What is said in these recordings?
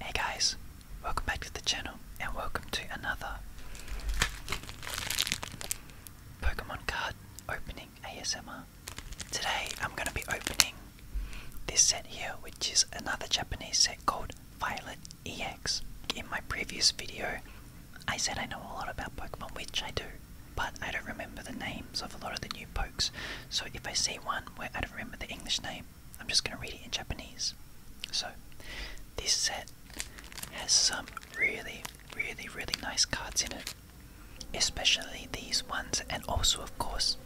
Hey guys, welcome back to the channel and welcome to another Pokemon card opening ASMR. Today I'm going to be opening this set here which is another Japanese set called Violet EX. In my previous video I said I know a lot about Pokemon which I do but I don't remember the names of a lot of the new pokes so if I see one where I don't remember the English name I'm just going to read it in Japanese. So, this set has some really, really, really nice cards in it, especially these ones, and also, of course,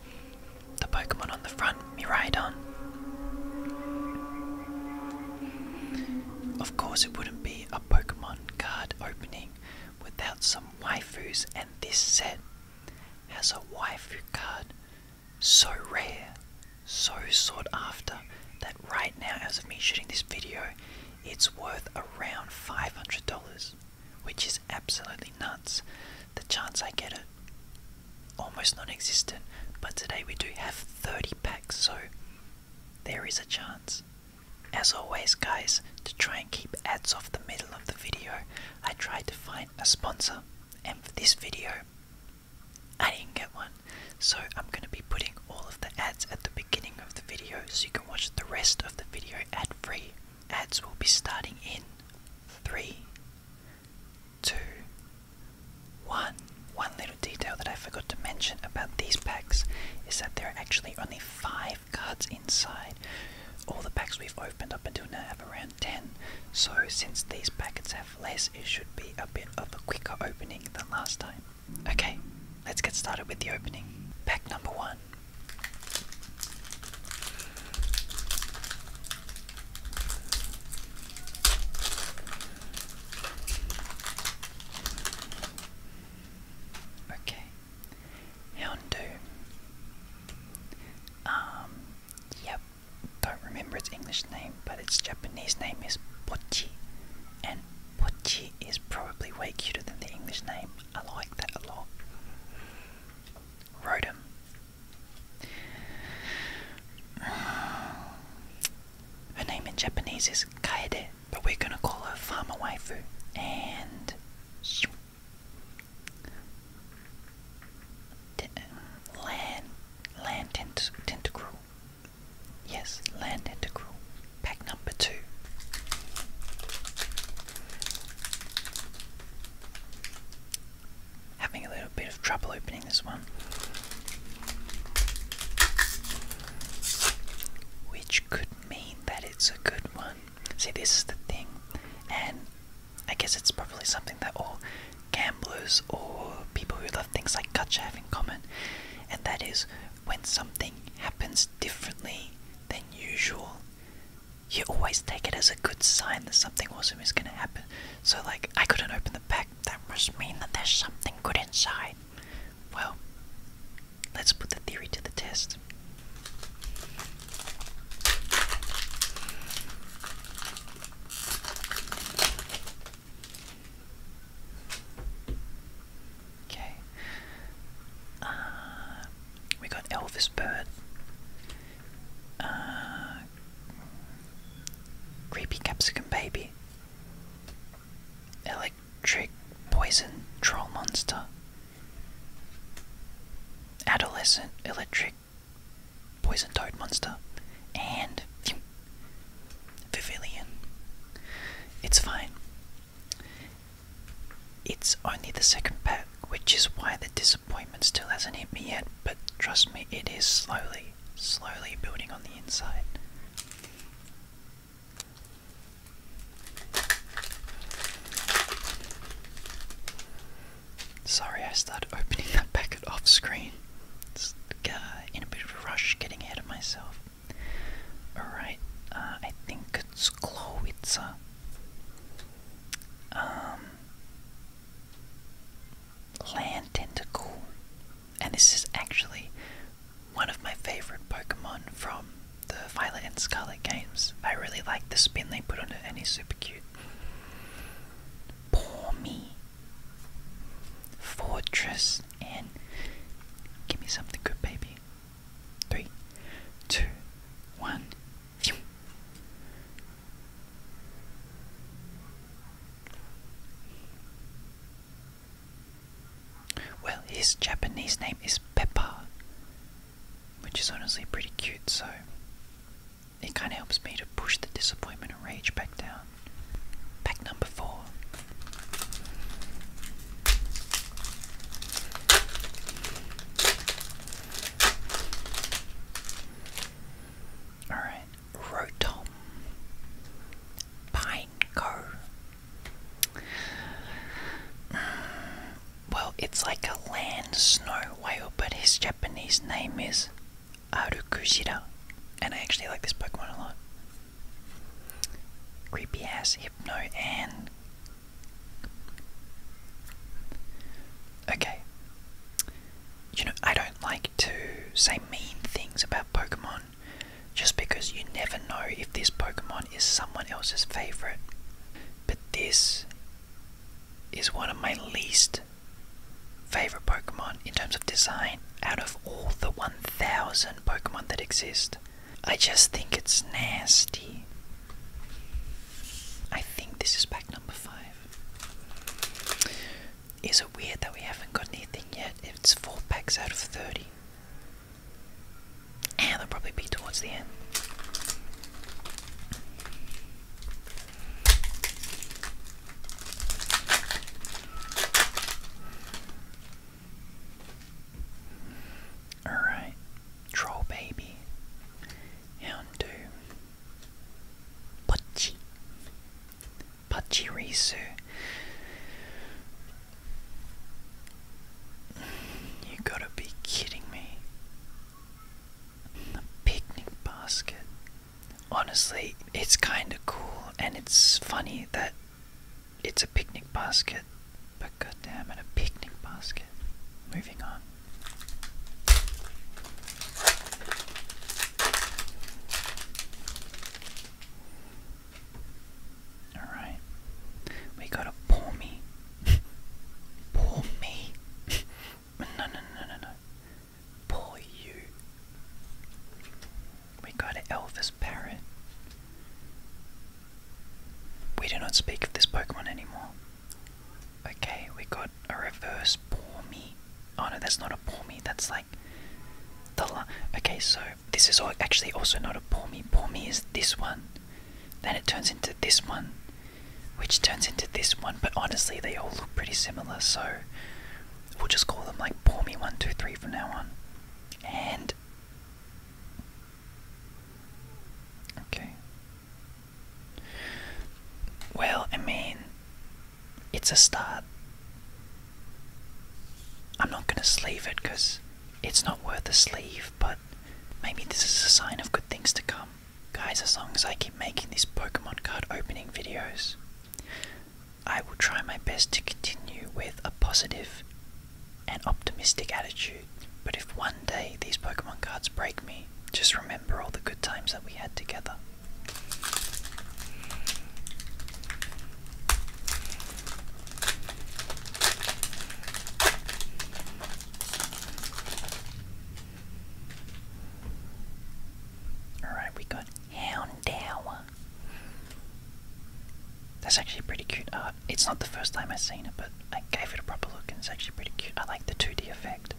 the Pokemon on the front, Miraidon. Of course, it wouldn't be a Pokemon card opening without some waifus, and this set has a waifu card so rare, so sought after, that right now, as of me shooting this video, it's worth around $500, which is absolutely nuts. The chance I get it, almost non existent, but today we do have 30 packs, so there is a chance. As always, guys, to try and keep ads off the middle of the video, I tried to find a sponsor and for this video, I didn't get one, so I'm going to be putting all of the ads at the beginning of the video so you can watch the rest of the video ad free. Ads will be starting in three, two, one. 1. little detail that I forgot to mention about these packs is that there are actually only 5 cards inside. All the packs we've opened up until now have around 10, so since these packets have less, it should be a bit of a quicker opening than last time. Okay, let's get started with the opening. Pack number one. Okay, Houndoom. Um, yep, don't remember its English name, but its Japanese name is Pochi. And Pochi is probably way cuter than the English name. I like that a lot. Rotom. Her name in Japanese is Kaede, but we're gonna call her Farmer Waifu. And land, land tent, tentacruel. Yes, land tentacruel. Pack number two. Having a little bit of trouble opening this one. Which could mean that it's a good one. See, this is the thing, and I guess it's probably something that all gamblers or people who love things like gacha have in common, and that is when something happens differently than usual, you always take it as a good sign that something awesome is going to happen. So, like, I couldn't open the pack, that must mean that there's something good inside. Well, let's put the theory to the test. Okay. Uh, we got Elvis Bird. Uh, creepy Capsicum Baby. Electric Poison Troll Monster. Adolescent Electric. Poison Toad Monster, and phew, It's fine. It's only the second pack, which is why the disappointment still hasn't hit me yet, but trust me, it is slowly, slowly building on the inside. Sorry, I started opening that packet off screen. Uh, in a bit of a rush, getting ahead of myself. Alright, uh, I think it's Klowitzer. Um, Land Tentacle. And this is actually one of my favorite Pokemon from the Violet and Scarlet games. I really like the spin they put on it, and he's super cute. Poor me. Fortress and give me something good, baby. Three, two, one. Phew. Well, his Japanese name is Peppa, which is honestly pretty cute, so it kind of helps me to push the disappointment and rage back down. Pack number four. Alright, Rotom. Pineco. well, it's like a land snow whale, but his Japanese name is Arukushira. And I actually like this Pokemon a lot. Creepy ass Hypno and. Okay. You know, I don't like to say mean things about Pokemon just because you never know if this Pokemon is someone else's favorite. But this is one of my least favorite Pokemon in terms of design out of all the 1000 Pokemon that exist. I just think it's nasty. I think this is pack number 5. Is it weird that we haven't got anything yet? It's 4 packs out of 30. And they'll probably be towards the end. Alright, troll baby. Hound do Pachi Pachirisu. You gotta be kidding me picnic basket. Honestly, it's kind of cool and it's funny that it's a picnic basket. But goddamn it, a picnic basket. Moving on. Alright. We got a poor me. poor me. no, no, no, no, no. Poor you. We go to Elvis Parrot. We do not speak of this Pokemon anymore. Okay, we got a reverse Pormy. Oh no, that's not a Pormy, that's like the Okay, so this is actually also not a Pormy. Pormy is this one. Then it turns into this one which turns into this one, but honestly, they all look pretty similar, so we'll just call them like me one, two, 123 from now on. And. Okay. Well, I mean, it's a start. I'm not gonna sleeve it because it's not worth a sleeve, but maybe this is a sign of good things to come. Guys, as long as I keep making these Pokemon card opening videos, I will try my best to continue with a positive and optimistic attitude. But if one day these Pokemon cards break me, just remember all the good times that we had together. Alright, we got Houndour. That's actually pretty cute It's not the first time I've seen it, but I gave it a proper look and it's actually pretty cute. I like the 2D effect.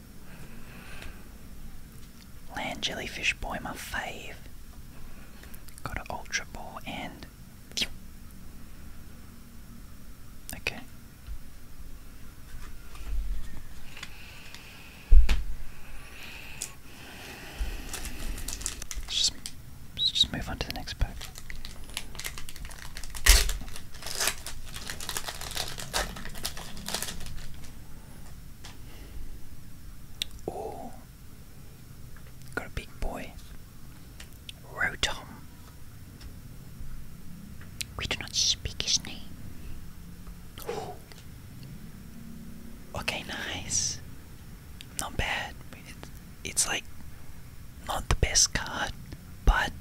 Land Jellyfish Boy, my fave. Got an Ultra Ball and. Okay, Let's just, move on to the next pack. Oh, got a big boy. Rotom. We do not speak his name okay, nice. Not bad. It's, like not the best card, but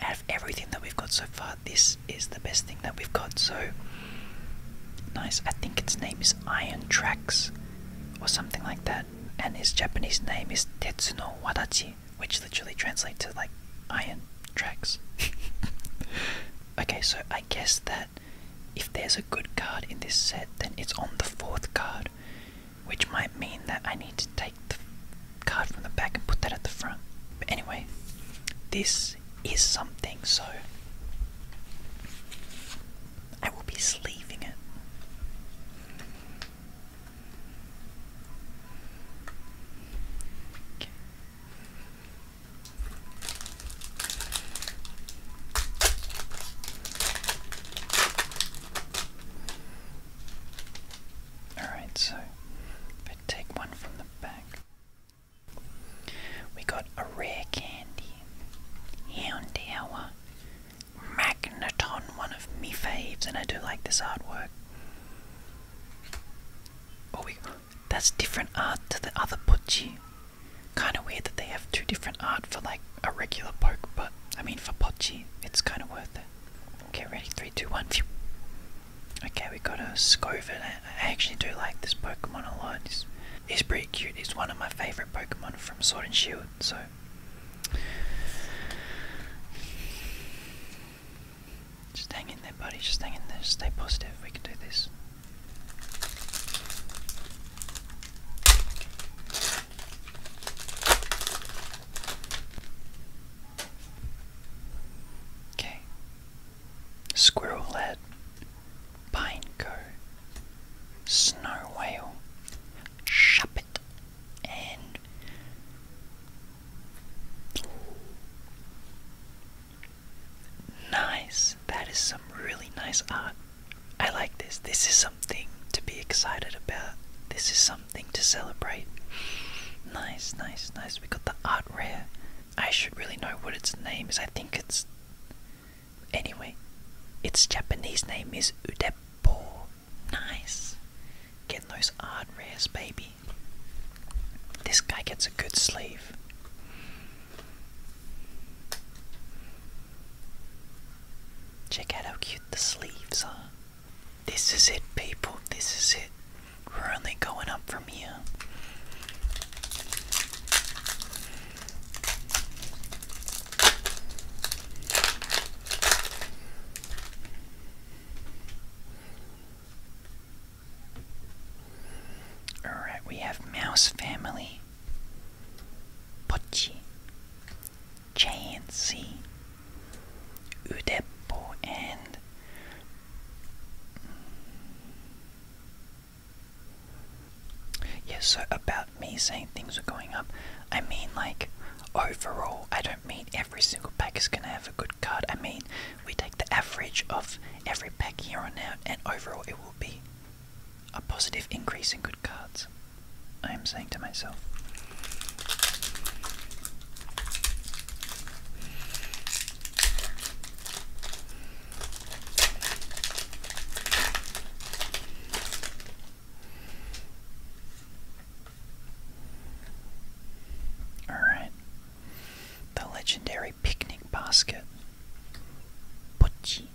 out of everything that we've got so far, this is the best thing that we've got. So nice. I think its name is Iron Tracks or something like that, and his Japanese name is Tetsuno Wadachi which literally translates to like iron tracks. okay, so I guess that if there's a good card in this set, then it's on the fourth card, which might mean that I need to take the card from the back and put that at the front. But anyway, this is something, so I will be sleeving it. Okay. Alright, so take one from the back. We got a rare candy, Houndour, Magneton, one of me faves, and I do like this artwork. Oh, we that's different art to the other Bocce. Kind of weird that they have two different art for like a regular poke, but I mean for Bocce, it's kind of worth it. Okay, ready? three, two, one, 2, 1. Okay, we got a Scovet. I actually do like this Pokemon a lot. It's, it's pretty cute. It's one of my favorite Pokemon from Sword and Shield, so. Just hang in there, buddy. Just hang in there. Stay positive. We can do this. Okay. Squirrel lad, pineco, snow whale, shuppet, and Nice. That is some really nice art. I like this. This is something to be excited about. This is something to celebrate. Nice, nice, nice. We got the art rare. I should really know what its name is. I think it's. Anyway, its Japanese name is Udeppo. Nice. Getting those art rares, baby. This guy gets a good sleeve. Check out how cute the sleeves are. This is it, people. This is it. We're only going up from here. Alright, we have Mouse Family, Pochi, Chancy, Udeppo, and yeah, so about me saying things are going up, I mean like overall, I don't mean every single pack is gonna have a good card. I mean we take the average of every pack here on out, and overall it will be a positive increase in good cards. I am saying to myself. All right, the legendary picnic basket. Pochi.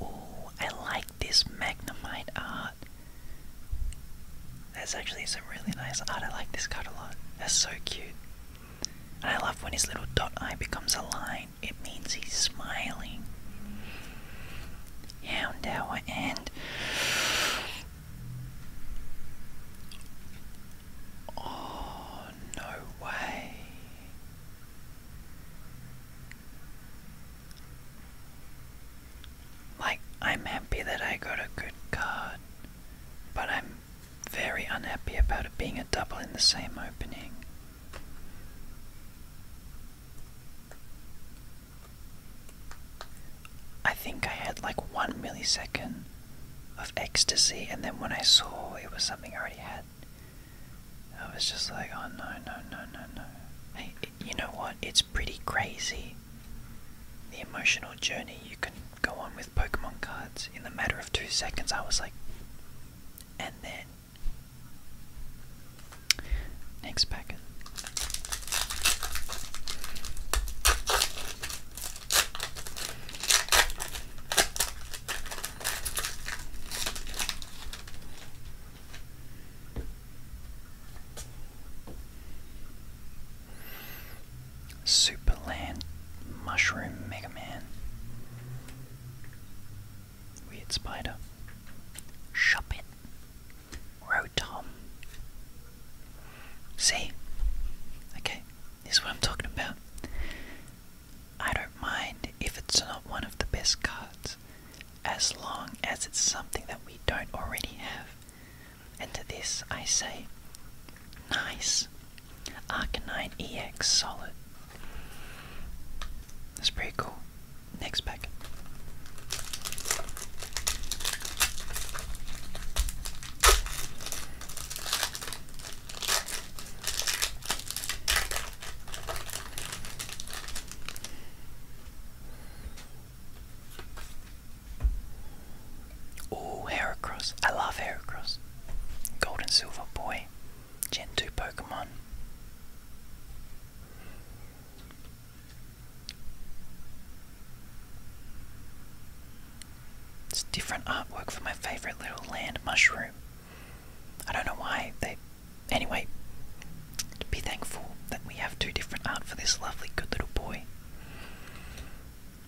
Oh, I like this Magnemite art. That's actually some really nice art. I like this card a lot. That's so cute. And I love when his little dot eye becomes a line. It means he's smiling. Houndour and Oh, no way. Like, I'm happy that I got a good card, but I'm very unhappy about it being a double in the same opening. I think I had like one millisecond of ecstasy, and then when I saw it was something I already had, I was just like, oh no, no, no, no, no. Hey, you know what? It's pretty crazy the emotional journey you can go on with Pokemon cards. In the matter of two seconds, I was like, and then. Next packet. Super Land, Mushroom Mega Man. Weird Spider. Shop Rotom. See? Okay, this is what I'm talking about. I don't mind if it's not one of the best cards, as long as it's something that we don't already have. And to this I say, nice. Arcanine EX solid. That's pretty cool. Next pack. Oh, Heracross. I love Heracross. Gold and Silver Boy. Gen 2 Pokemon. It's different artwork for my favorite little land mushroom. I don't know why they. Anyway, be thankful that we have two different art for this lovely, good little boy.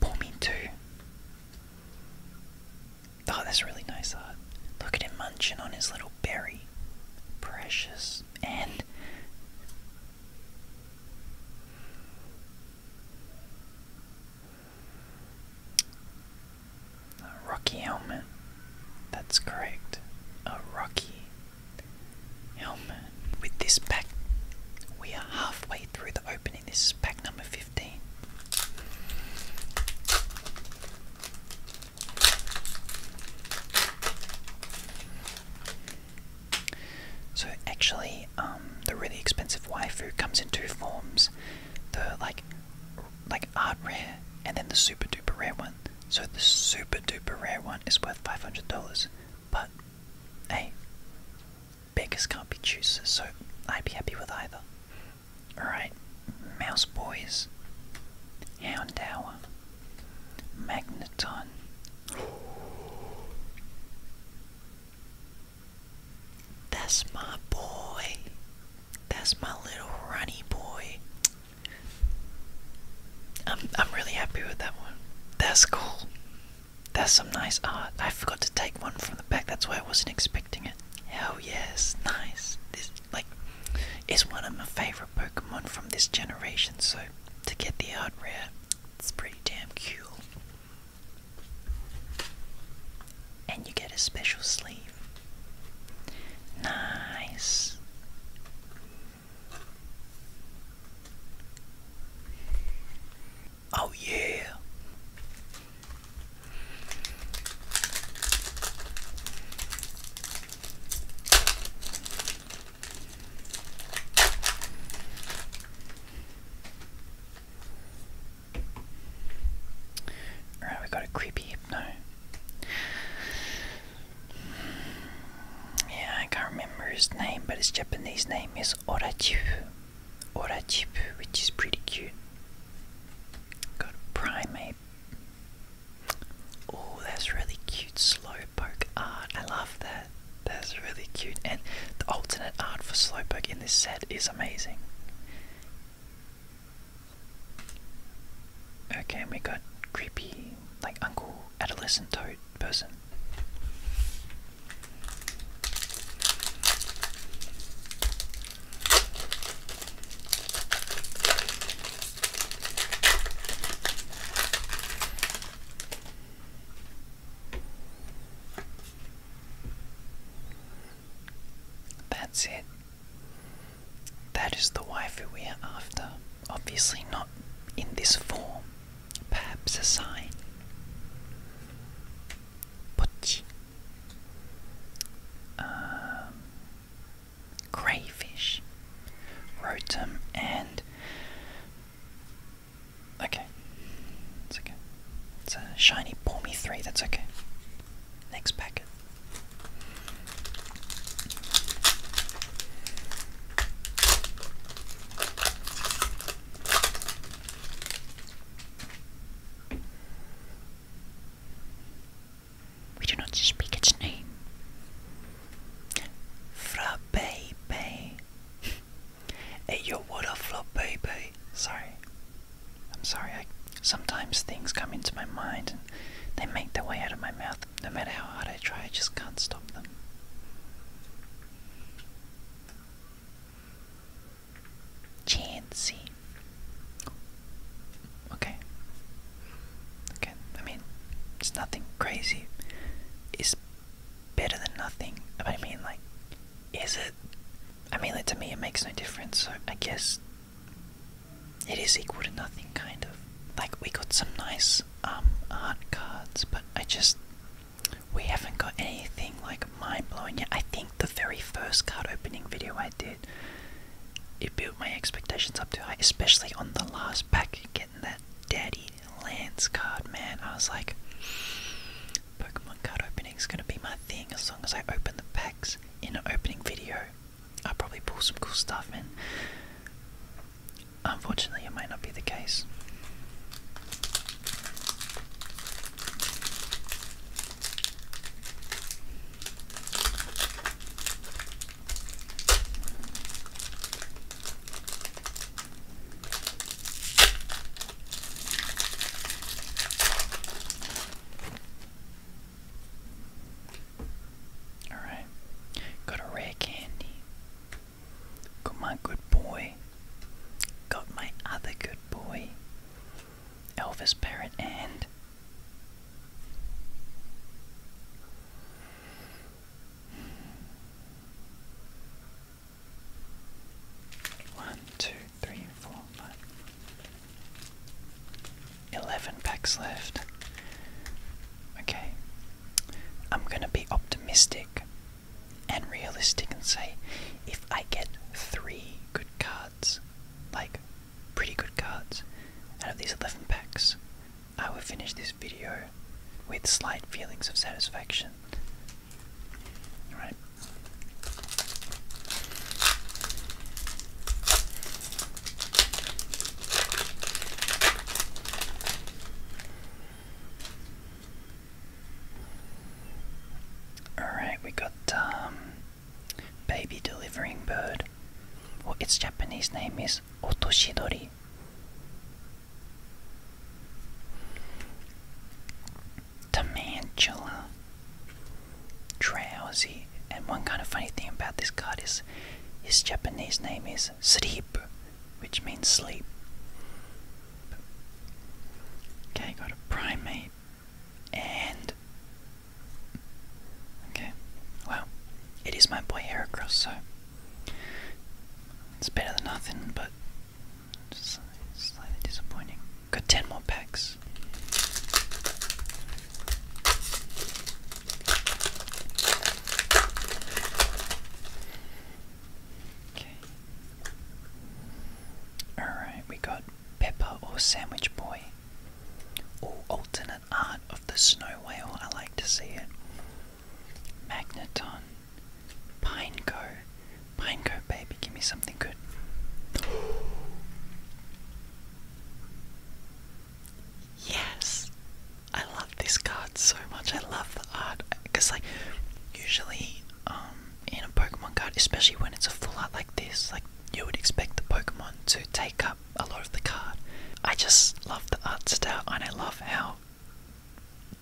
Pour Oh, that's really nice art. Look at him munching on his little berry. Precious. And a Rocky helmet. That's correct. A Rocky helmet. With this pack, we are halfway through the opening. This is pack number 15. So actually, um, the really expensive waifu comes in two forms: the like, like art rare, and then the super duper rare one. So the super duper rare one is worth five hundred dollars, but hey, beggars can't be choosers, so I'd be happy with either. Alright, Mouse Boys, Houndour, Magneton. That's my boy. That's my little runny boy. I'm I'm really happy with that one. That's cool. That's some nice art. I forgot to take one from the back. That's why I wasn't expecting it. Hell yes, nice. This like is one of my favorite Pokemon from this generation. So to get the art rare it's pretty damn cool. And you get a special sleeve. Nice. Oh, yeah. Alright, we got a creepy hypno. Yeah, I can't remember his name, but his Japanese name is Orachibu. Orachibu, which is pretty cute. Got a primate. Oh, that's really cute slowpoke art. I love that. That's really cute. And the alternate art for Slowpoke in this set is amazing. Okay, we got creepy, like Uncle Adolescent Toad person. That's it. That is the waifu we are after. Obviously, not in this form. Perhaps a sign. Butch. Um, crayfish, rotum, and Okay. It's okay. It's a shiny Bormy 3, that's okay. Next packet. We do not speak its name. Fra Bay Hey, yo, what a flop, baby. Sorry. I'm sorry. I, sometimes things come into my mind and they make their way out of my mouth. No matter how hard I try, I just can't stop them. Chancy. Okay. Okay, I mean, it's nothing crazy. It's better than nothing. But I mean, like, is it? I mean, like, to me, it makes no difference. So I guess it is equal to nothing, kind of. Like, we got some nice um, art cards, but I just we haven't got anything like mind blowing yet. I think the very first card opening video I did, it built my expectations up to, high, especially on the last pack that Daddy Lance card, man. I was like, Pokemon card opening is gonna be my thing as long as I open the packs in an opening video. I'll probably pull some cool stuff in. Unfortunately, it might not be the case. Alright, got a rare candy. Got my good boy. Got my other good boy. Elvis Parrot and. One, two, three, four, five. Eleven packs left. Okay. I'm gonna be optimistic and realistic and say if I get three good cards, like pretty good cards, out of these 11 packs, I will finish this video with slight feelings of satisfaction. All right. Alright, we got um, baby delivering bird. Well, its Japanese name is Otoshidori. Tarantula. Drowsy. And one kind of funny thing about this card is his Japanese name is Sleep, which means sleep. Okay, got a primate. And. Okay. Well, it is my boy Heracross, so. It's better than nothing, but Slightly disappointing. Got 10 more packs. Okay. Alright, we got Pepper or Sandwich Boy. Or alternate art of the snow whale. I like to see it. Magneton. Pineco. Pineco, baby, give me something good. yes! I love this card so much. I love the art. Because, like, usually um, in a Pokemon card, especially when it's a full art like this, like, you would expect the Pokemon to take up a lot of the card. I just love the art style and I love how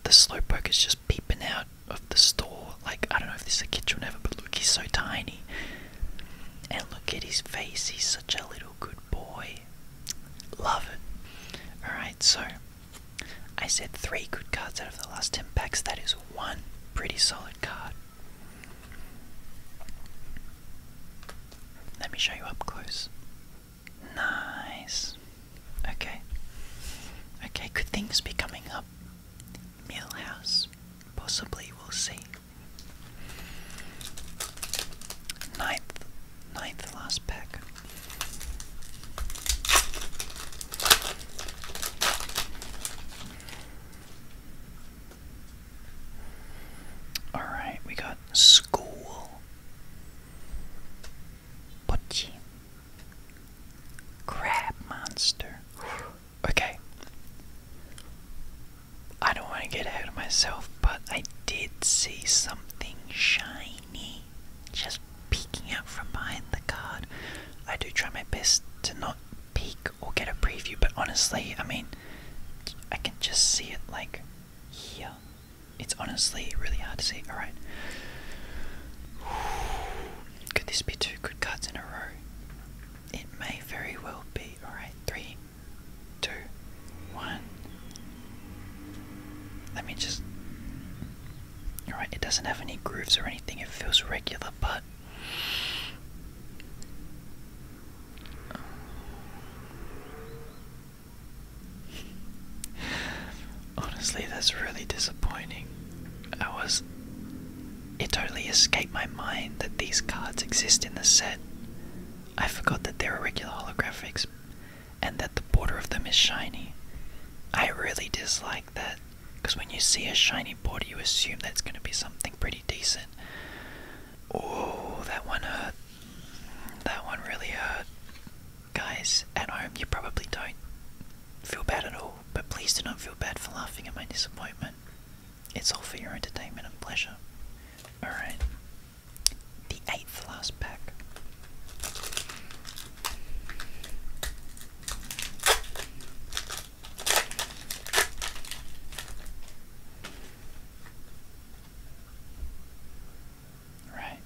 the slowpoke is just peeping out of the store. Like, I don't know if this is a kid or never, but look, he's so tiny. And look at his face, he's such a little good boy. Love it. Alright, so I said three good cards out of the last 10 packs. That is one pretty solid card. Let me show you up close. Nice. Okay. Okay, could things be coming up? Millhouse. Possibly, we'll see. Ninth. Ninth last pack. Alright, we got school. Pochi. Crab monster. Okay. I don't want to get ahead of myself, but I did see something shiny just peeking out from behind the card. I do try my best to not peek or get a preview, but honestly, I mean, I can just see it like here. It's honestly really hard to see. Alright. Could this be two good cards in a row? It may very well be. Alright, three, two, one. Let me just. Alright, it doesn't have any grooves or anything, it feels regular, but. Honestly, that's really disappointing. I was. It totally escaped my mind that these cards exist in the set. I forgot that they're irregular holographics and that the border of them is shiny. I really dislike that because when you see a shiny border, you assume that's going to be something pretty decent. Oh, that one hurt. That one really hurt guys at home, you probably don't feel bad at all, but please do not feel bad for laughing at my disappointment. It's all for your entertainment and pleasure. Alright, the eighth last pack. Right.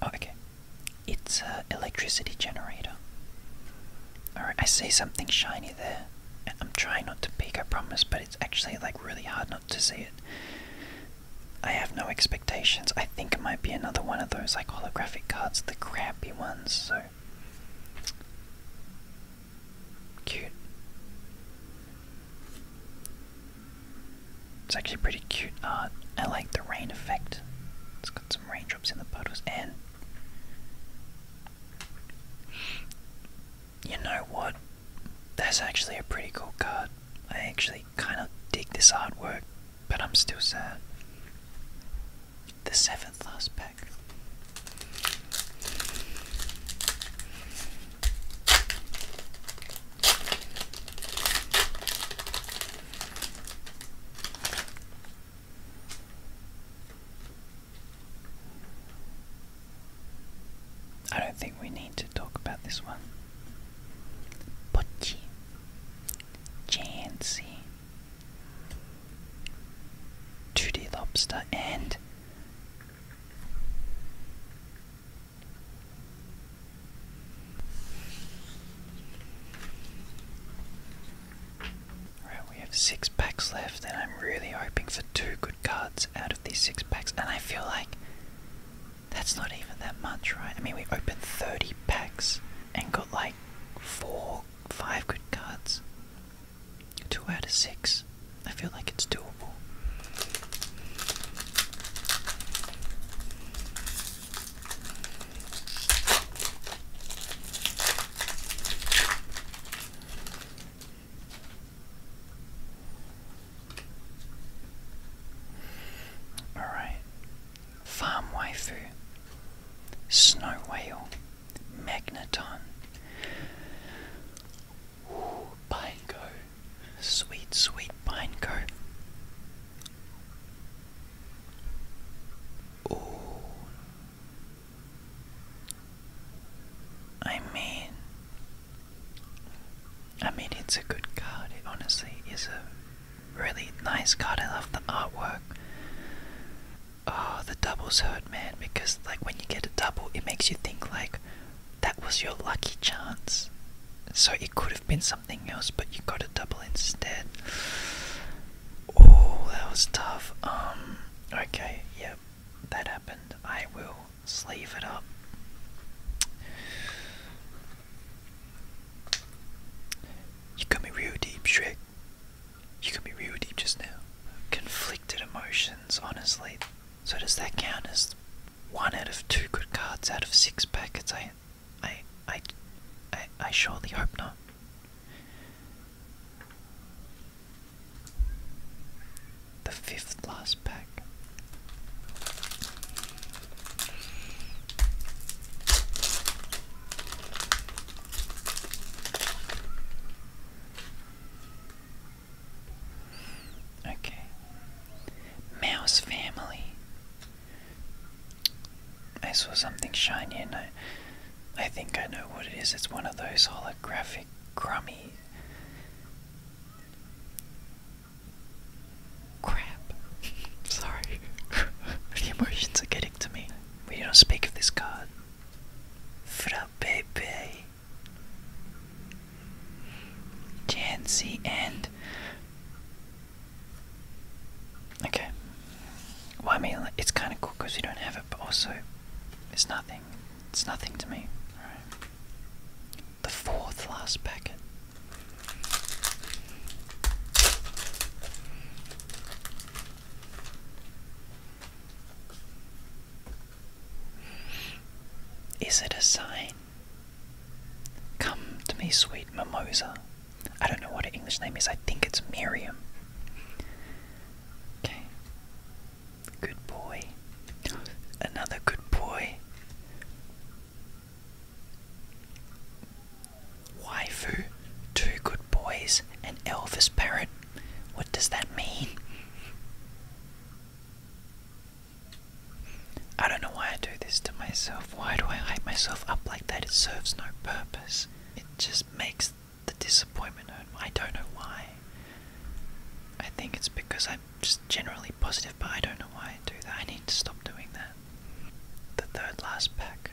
Oh, okay. It's an electricity generator. Alright, I see something shiny there. I'm trying not to peek, I promise, but it's actually like really hard not to see it. I have no expectations. I think it might be another one of those like holographic cards, the crappy ones, so. Cute. It's actually pretty cute art. Uh, I like the rain effect. It's got some raindrops in the puddles and you know what? That's actually a pretty cool card. I actually kind of dig this artwork, but I'm still sad. The seventh last pack. I don't think we need to talk about this one. Bocci. Jancy. 2 Lobster and Alright, we have six packs left, and I'm really hoping for two good cards out of these six packs. And I feel like that's not even that much, right? I mean, we opened 30 packs and got like four, five good cards. Two out of six. I feel like it's doable. All right. Farm waifu, snow whale, magneton, Ooh, pineco. Sweet, sweet pineco. Ooh. I mean, I mean, it's a good card. It honestly is a really nice card. I love the artwork. Oh, the doubles hurt, man, because like when you get a double, it makes you think like, that was your lucky chance. So it could have been something else, but you got a double instead. Oh, that was tough. Um, okay, yep, that happened. I will sleeve it up. You got me real deep, Shrek. You got me real deep just now. Conflicted emotions, honestly. So does that count as one out of two good cards out of six packets. I, I, I, I, I surely hope not. The fifth last pack. Okay. Mouse family. I saw something shiny and I, I think I know what it is. It's one of those holographic crummy. Crap. Sorry. the emotions are getting to me. We do not speak of this card. Fra Pepe. Jancy and okay. Well, I mean, it's kind of cool because we don't have it, but also it's nothing. It's nothing to me. The fourth last packet. Is it a sign? Come to me, sweet mimosa. I don't know what her English name is, I think it's Miriam. Okay. Good boy. Another good boy. Waifu, two good boys, and Elvis parrot. What does that mean? I don't know why I do this to myself. Why do I hype myself up like that? It serves no purpose. It just makes the disappointment I don't know why. I think it's because I'm just generally positive, but I don't know why I do that. I need to stop doing that. The third last pack.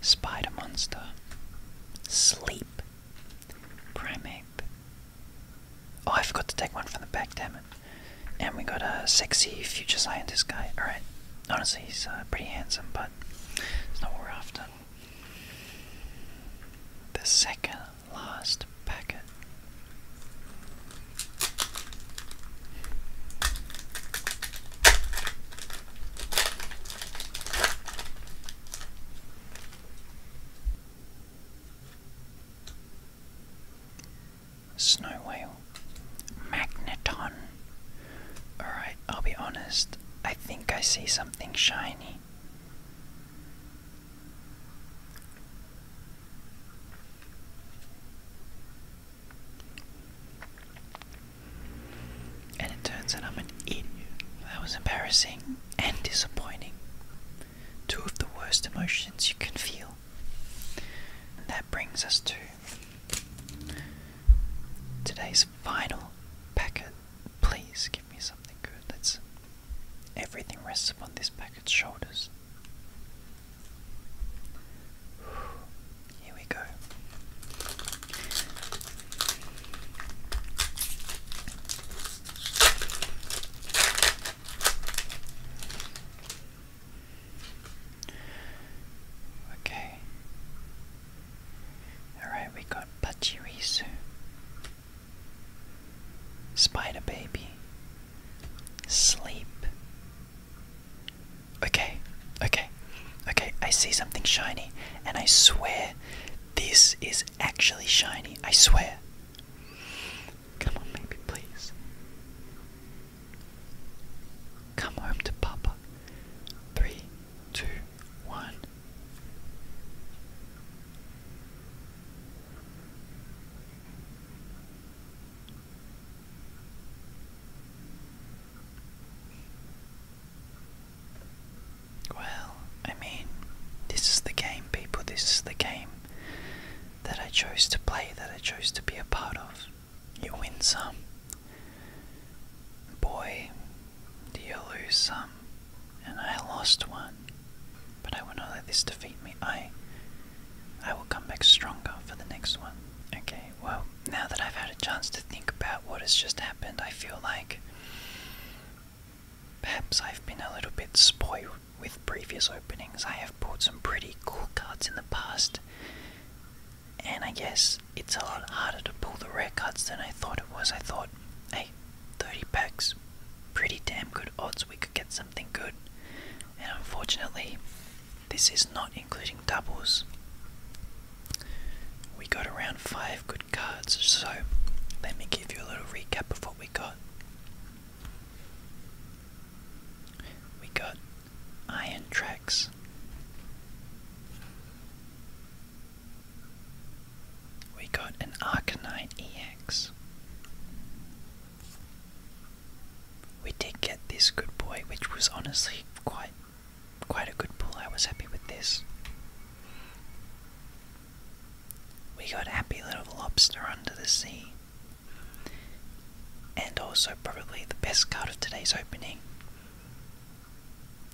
Spider monster, sleep, primate. Oh, I forgot to take one from the back, damn it. And we got a sexy future scientist guy. Alright, honestly, he's uh, pretty handsome, but it's not what we The second last packet. Snow whale. Magneton. Alright, I'll be honest. I think I see something shiny. And it turns out I'm an idiot. That was embarrassing and disappointing. Two of the worst emotions you can feel. that brings us to today's final packet. Please give me something good. Let's everything rests upon this packet back its shoulders. Here we go. Okay. Alright, we got Pachirisu, Spider Baby, Sleep. Okay, okay, okay. I see something shiny, and I swear this is actually shiny. I swear. Come on, baby, please. Come home to Papa. Three, two, one. Well, I mean, this is the game, people. This is the game that I chose to play, that I chose to be a part of. You win some. Boy, do you lose some. And I lost one. But I will not let this defeat me. I I will come back stronger for the next one. Okay, well, now that I've had a chance to think about what has just happened, I feel like perhaps I've been a little bit spoiled with previous openings. I have bought some pretty cool cards in the past, and I guess it's a lot harder to pull the rare cards than I thought it was. I thought, hey, 30 packs, pretty damn good odds we could get something good and unfortunately, this is not including doubles. We got around five good cards, so let me give you a little recap of what we got. We got Iron Tracks. We got an Arcanine EX we did get this good boy, which was honestly quite quite a good pull. I was happy with this. We got happy little lobster under the sea. And also probably the best card of today's opening.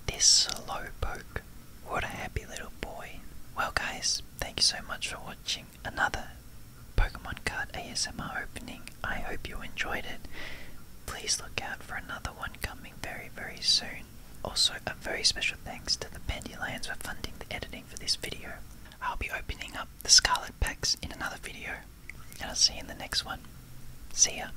This slow poke. What a happy little boy. Well guys, thank you so much for watching another Pokemon Card ASMR opening. I hope you enjoyed it. Please look out for another one coming very, very soon. Also, a very special thanks to the Pandylands for funding the editing for this video. I'll be opening up the Scarlet Packs in another video, and I'll see you in the next one. See ya.